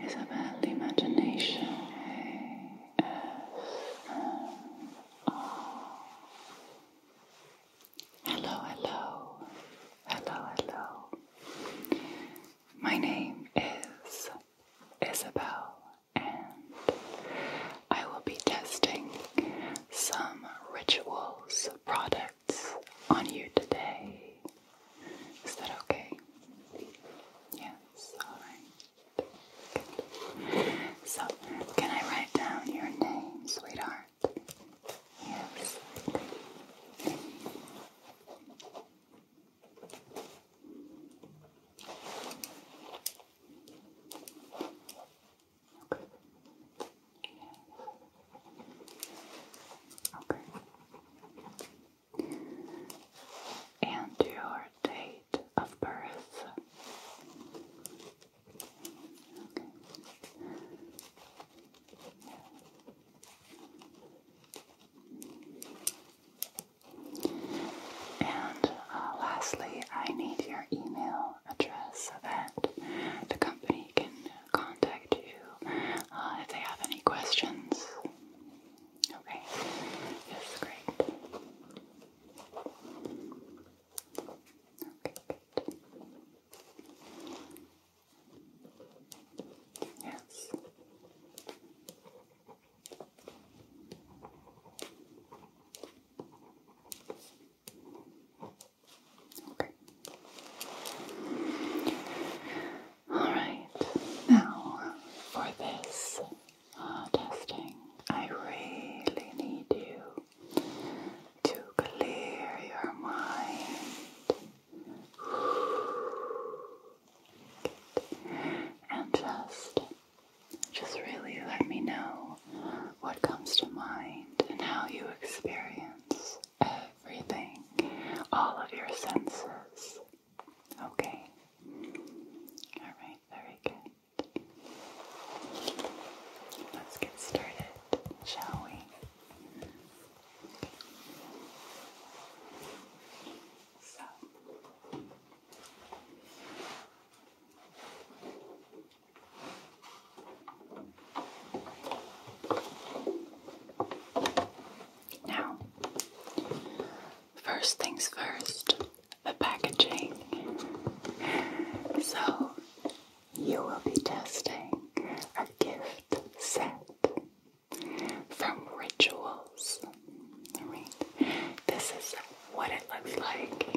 Isabel Imagination Hello, hello, hello, hello. My name is Isabel, and I will be testing some rituals products on you today. Is that okay? Yes, alright. So, can I write down your name, sweetheart? Yes. Okay. Okay. And your date of birth. And uh, lastly, I need your email address so that the company can contact you uh, if they have any questions. Okay, yes, great. Okay, good. Yes. Okay. All right. Now for this uh, testing, I really need you to clear your mind. And just just really let me know what comes to mind and how you experience everything, all of your senses. Okay. All right, very good. Let's get started, shall we? now, first things first, the packaging. So you will be testing a gift set from Rituals. this is what it looks like.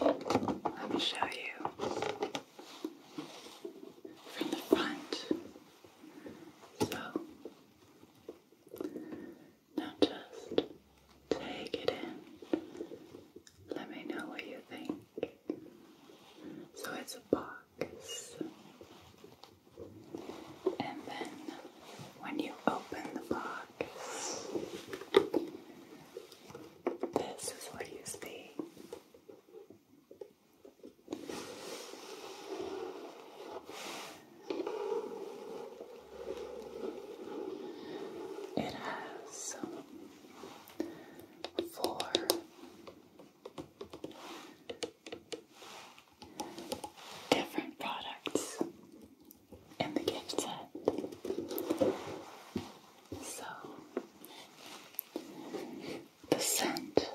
Let me show you from the front. So now just take it in. Let me know what you think. So it's a box. And then when you open the box, this is what you see. It has four, different products in the gift set. So, the scent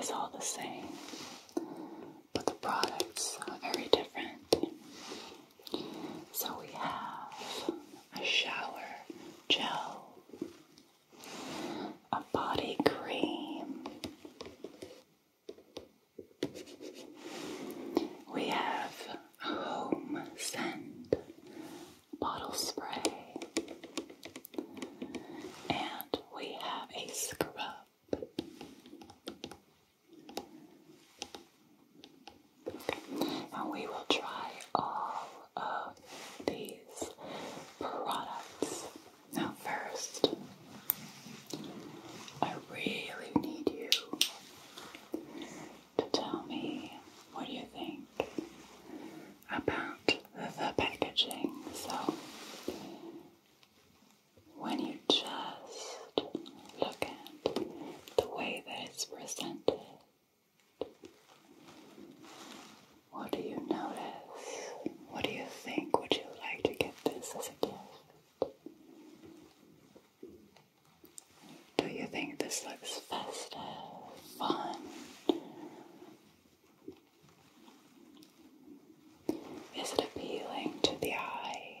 is all the same, but the products are very different. So, we have a shower gel a body cream. We have a home scent bottle spray, and we have a scrub. Okay. And we will try all of these products. Now, first, I really need you to tell me what you think about the packaging. So, when you just look at the way that it's presented, what do you notice? What do you think? Would you like to get this as a gift? Do you think this looks festive, fun? Is it appealing to the eye?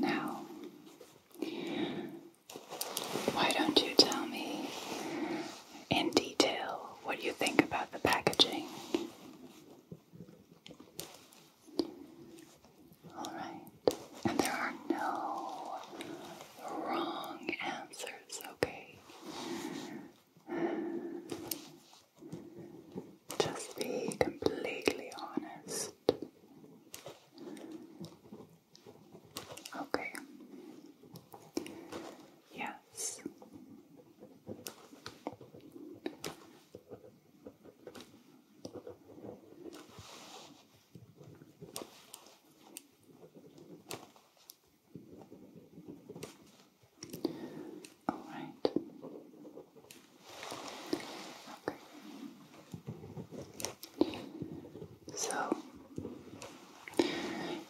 Now, why don't you tell me in detail what you think about the packaging? All right, and there are no wrong answers, okay? Just be completely honest. Okay. Yes. All right. Okay. So,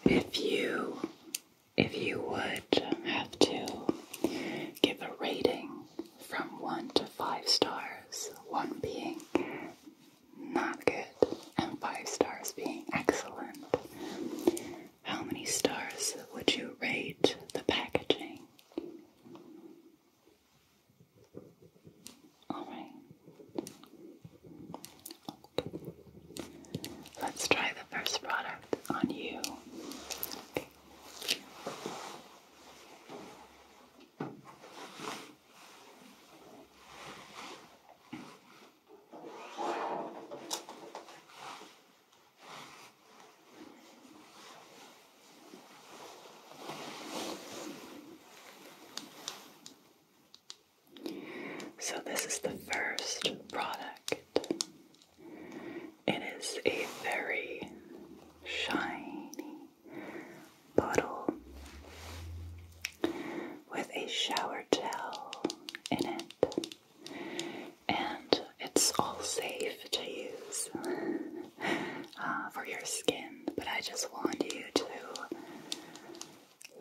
if you if you would have to give a rating from one to five stars, one being not good and five stars being excellent. How many stars would you rate the packaging? Alright. Let's try the first product on you. Okay. So, this is the first product. It is a very shiny bottle with a shower gel in it and it's all safe to use uh, for your skin. But I just want you to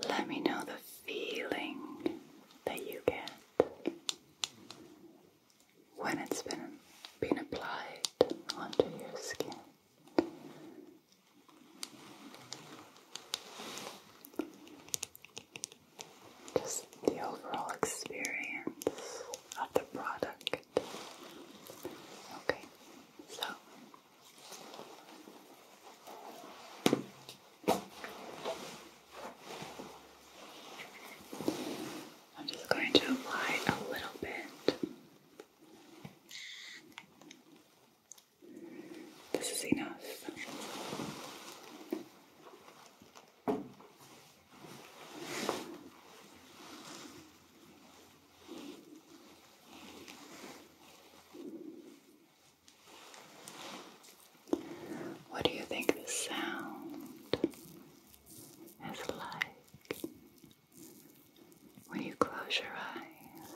let me know the feeling that you get when it's been been applied onto your skin just the overall experience of the product. Okay, so. I'm just going to apply a little bit. This is enough. What do you think the sound is like when you close your eyes?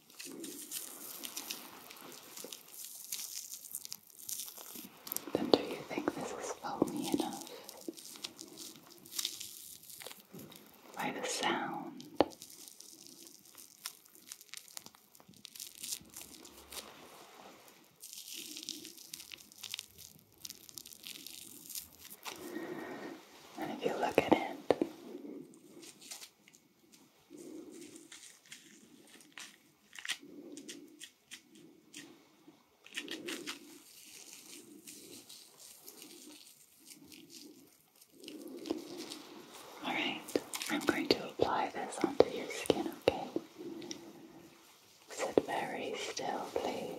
Then do you think this is foamy enough? By the sound. And if you look at it, Alright, I'm going to apply this onto your skin, okay? Sit very still, please.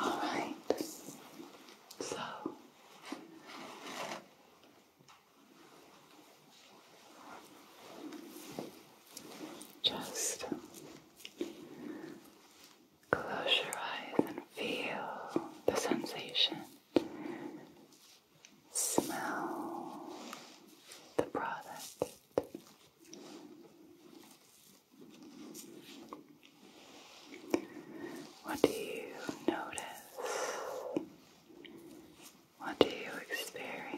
All right. So just close your eyes and feel the sensation Smell the product. What do you notice? What do you experience?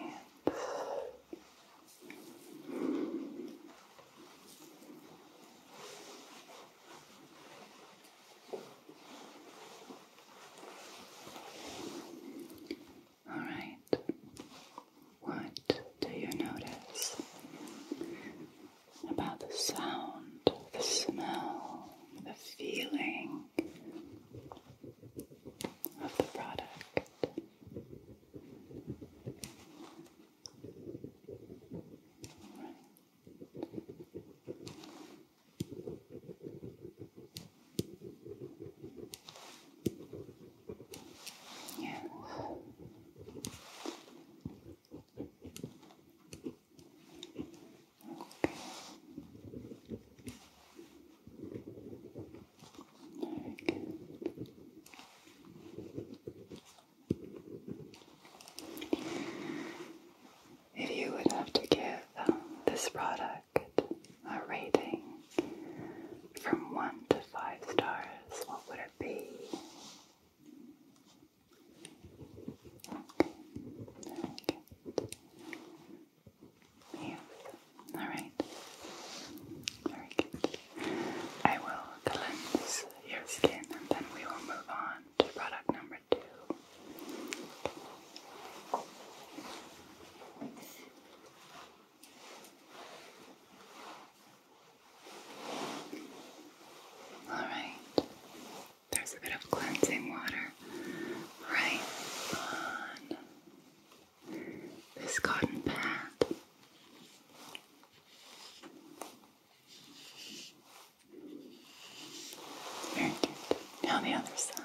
Alright, what do you notice about the sound, the smell, the feeling of the product? Yeah. Okay. If you would have to give this product a rating from 1 to 5 stars, what would it be? Okay. Yes. Alright. Very good. I will cleanse your skin and then we will move on to product number two. Alright, there's a bit of cleansing water right on this cotton pad. Very good. Now the other side.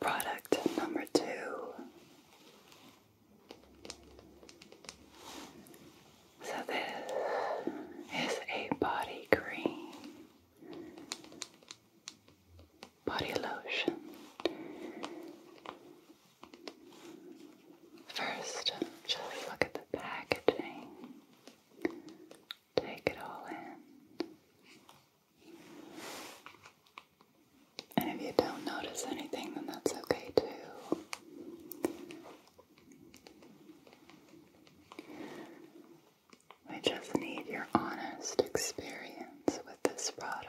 Product number two So this is a body cream body lotion First, just look at the packaging. Take it all in. And if you don't notice anything, then that's okay too. We just need your honest experience with this product.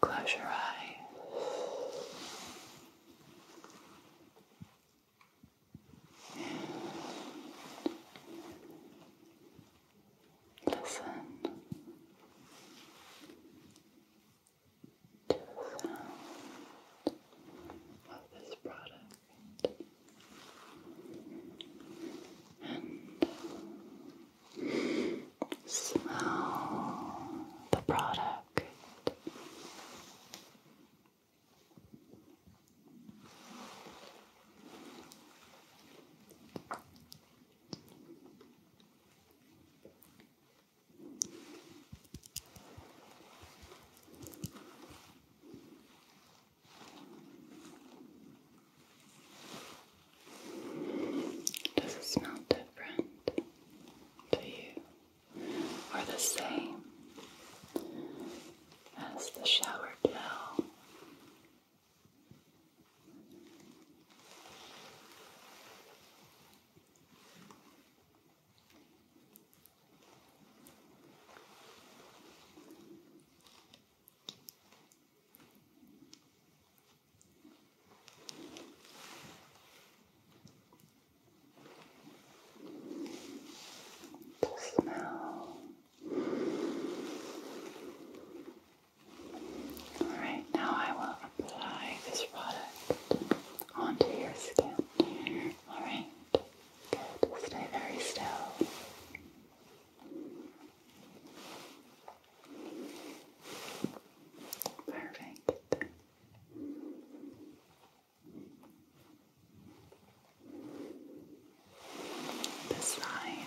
Close your eyes listen to the of this product. And smell the product. Does it smell different to you or the same as the shower gel? The smell. All right, now I will apply this product onto your skin. Alright, good. Stay very still. Perfect. This side.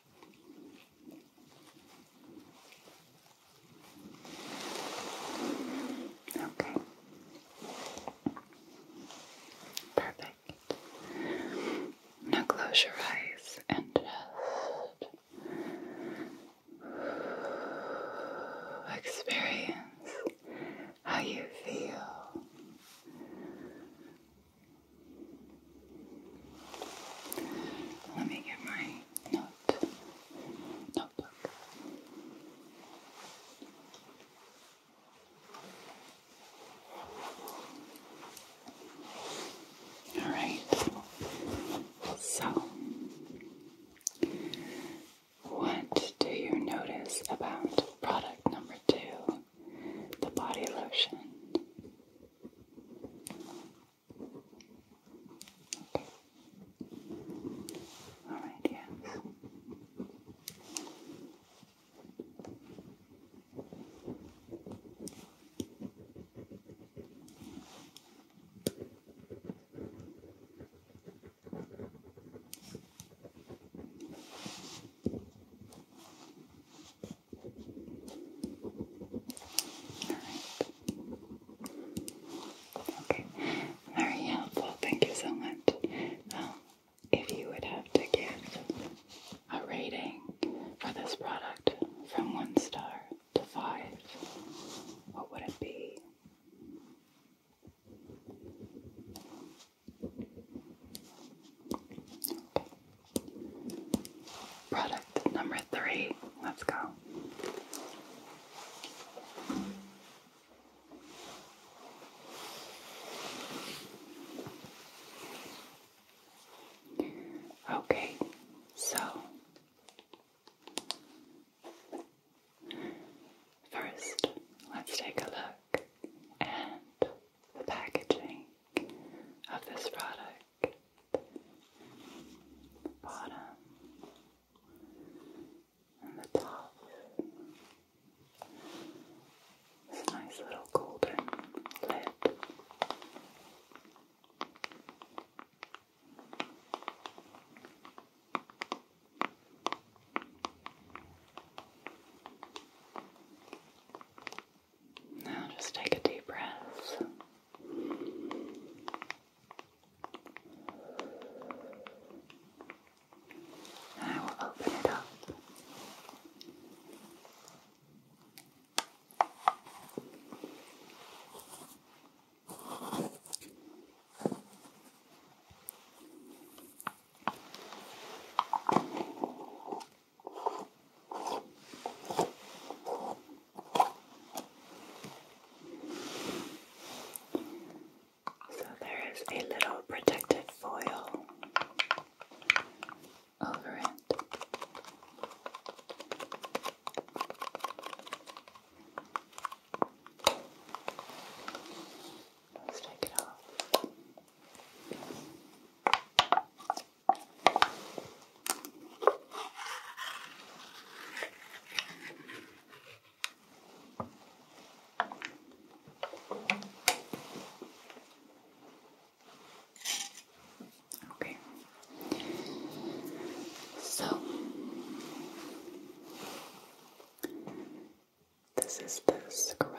Okay. Perfect. Now close your eyes and just experience how you feel let me get my note notebook. All right. So, what do you notice about product number two, the body lotion? All right, yes. All Okay. Very helpful. Thank you so much. Um, if you would have to give a rating for this product from one star to five, what would it be? Product number three. Let's go. Okay, so first let's take a look at the packaging of this product the bottom and the top. This nice little golden lid. Now just take a deep breath. And I will open it up. So there is a little protective foil over it. Let's take it off. Okay. So this is the scrub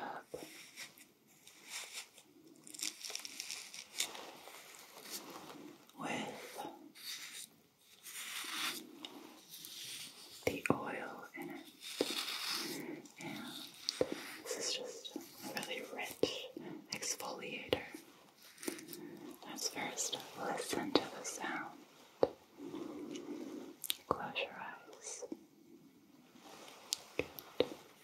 with the oil in it. And this is just a really rich exfoliator. That's first, listen to the sound. Close your eyes. Good.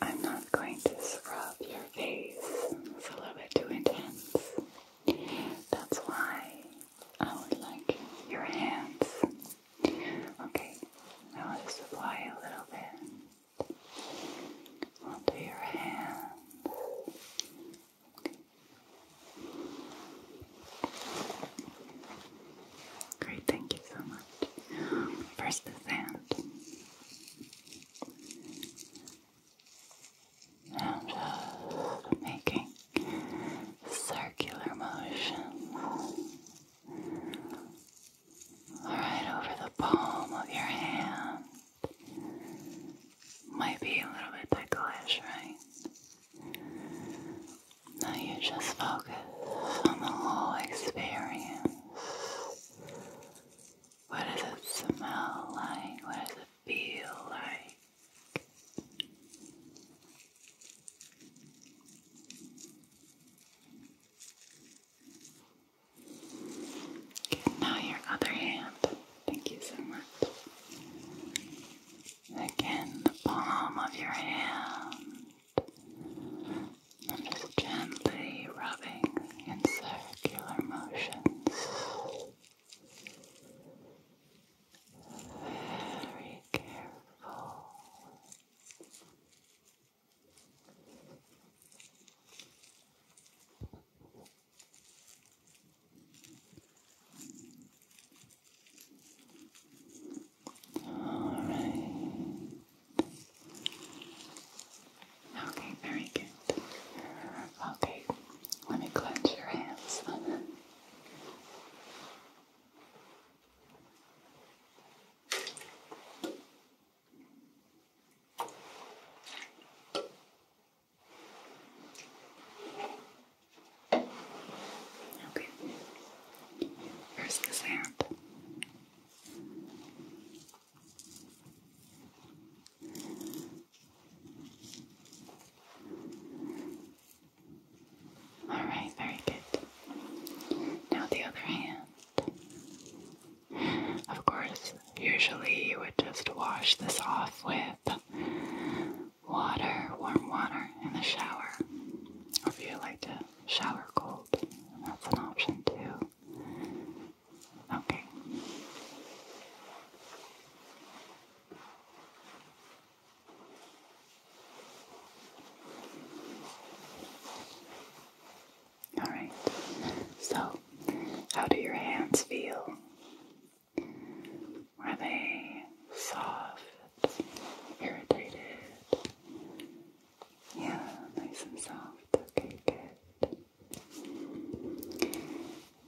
I'm not going to scrub your face. It's a little bit too intense. That's why I would like your hands. Okay, I'll just apply a little bit onto your hands. Great, thank you so much. First, the sand. I'm just uh, making circular motions right over the palm of your hand. Might be a little bit ticklish, right? Now you just focus on the whole experience. What does it smell like? What does it feel like? now your other hand. Thank you so much again the palm of your hand. I'm just gently rubbing in circular motions. Very careful. All right. Okay, very good. Okay, let me clench your hands. Okay. Here's the sand. All right, very good. Now the other hand. Of course, usually you would just wash this off with with water, warm water in the shower. Or if you like to shower cold, that's an option too. Okay. Alright, so how do your hands feel were they soft, irritated? Yeah, nice and soft. Okay, good.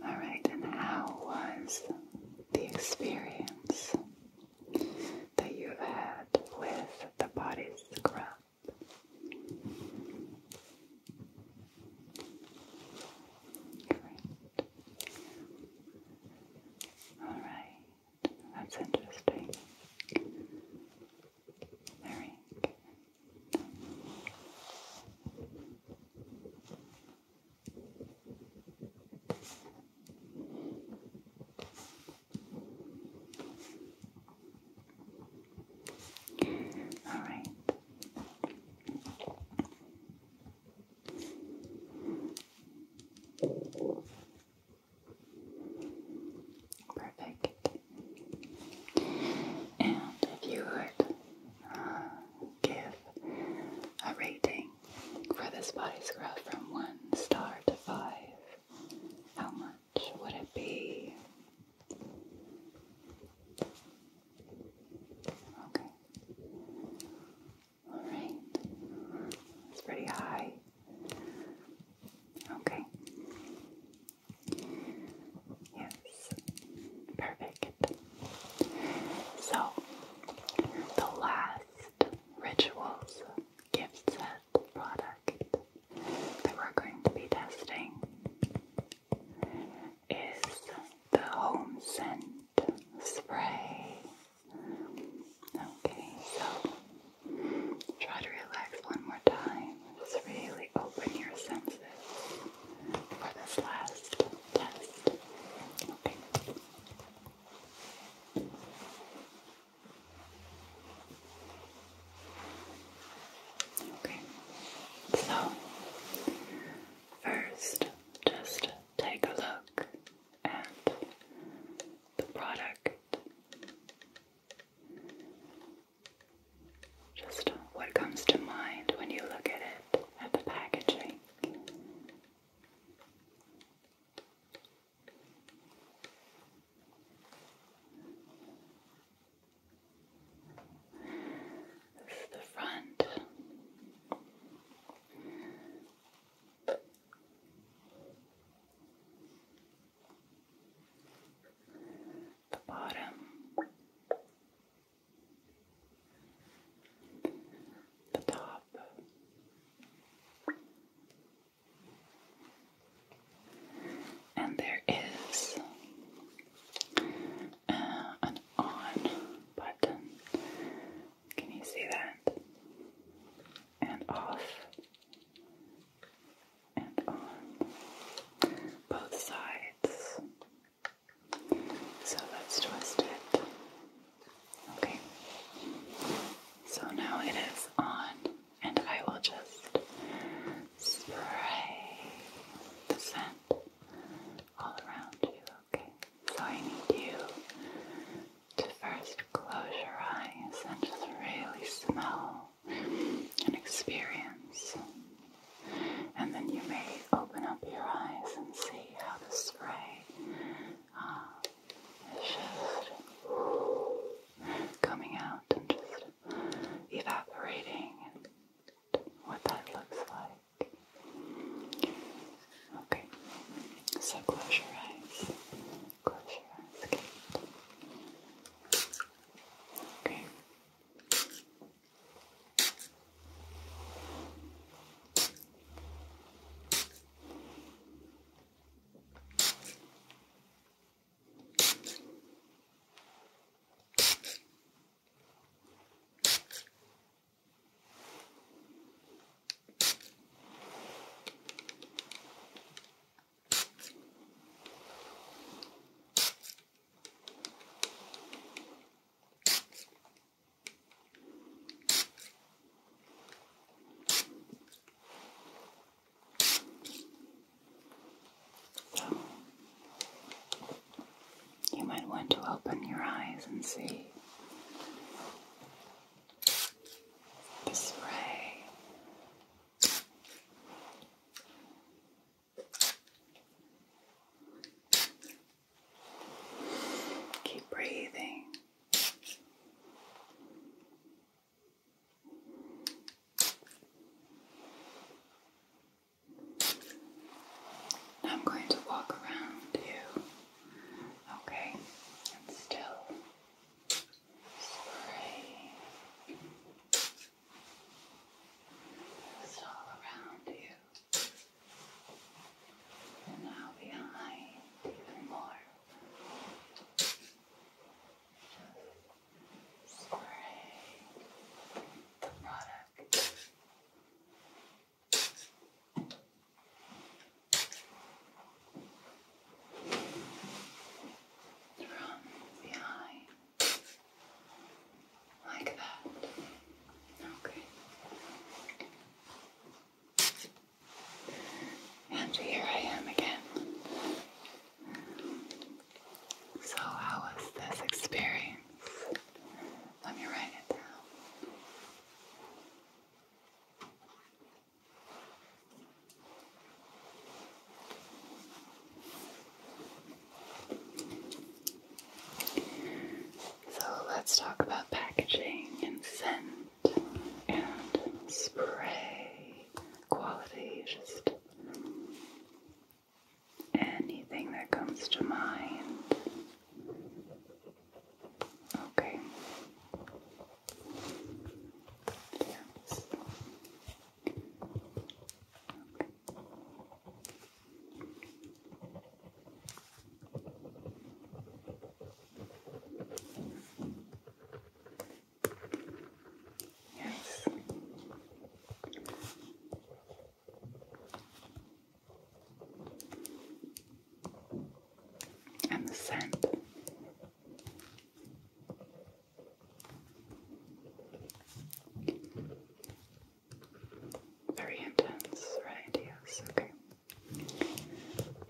Alright, and how was the experience that you've had with the body scrub? Great. Alright, that's interesting. Very All right. Perfect. And if you would uh, give a rating for this body scrub from one star to five, how much would it be? Okay. All right. It's pretty high. Okay. Yes. Perfect. So, the last rituals gift set product that we're going to be testing is the home scent spray. Okay, so try to relax one more time. Just really open your senses for this last test. Okay. Okay. So first, just take a look and the product. Just what comes to mind when you look at it, at the packaging. This is the front the bottom, the top. And there is uh, an on button can you see that? And off. And on. Both sides. So let's twist it. Okay. So now it is on, and I will just spray the scent all around you, okay? So I need you to first close your eyes and just really smell and experience. And then you may open up your eyes and see how the spray uh, is just coming out and just evaporating and what that looks like. Okay, so close your eyes. Close your eyes. okay. Okay. You might want to open your eyes and see this ray. Keep breathing. I'm going to walk around you Okay, and still spray this all around you, and now behind even more. spray the product from behind, like that. Okay. And here I am again. So, how was this experience? Let me write it down. So let's talk about packaging and scent and spray quality, just anything that comes to mind. Okay. Yes. Yes and the scent. Very intense, right? Yes, okay.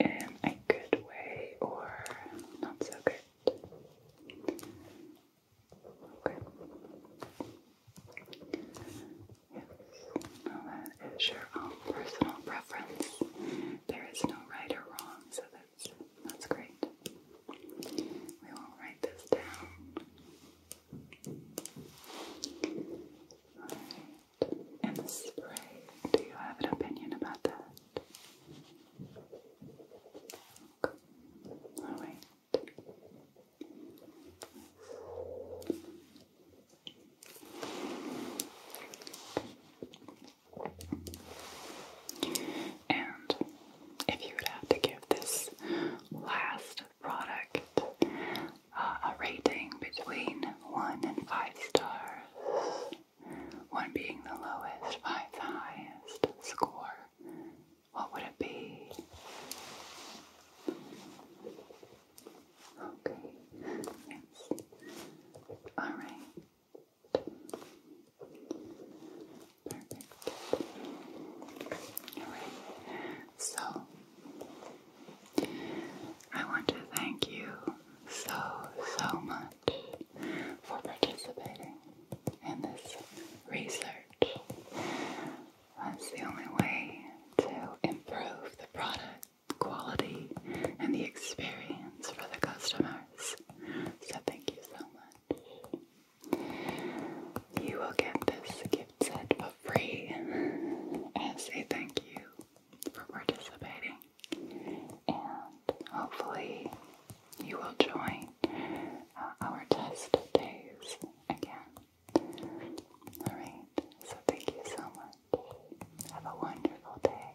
In a good way or not so good. Okay. Yes. that is your own personal preference. There is no right or wrong, so that's that's great. We will write this down. And the spray. Do you have an opinion about that? Okay. And if you would have to give this last product uh, a rating between 1 and 5 stars, 1 being the lowest, 5 the highest score, what would it be? Okay, yes. Alright. Perfect. Alright, so I want to thank you so, so much for participating in this research. That's the only way to improve the product quality and the experience for the customers. So thank you so much. You will get this gift set for free as a thank you for participating. And hopefully you will join uh, our test days again. Alright, so thank you so much. Have a wonderful day.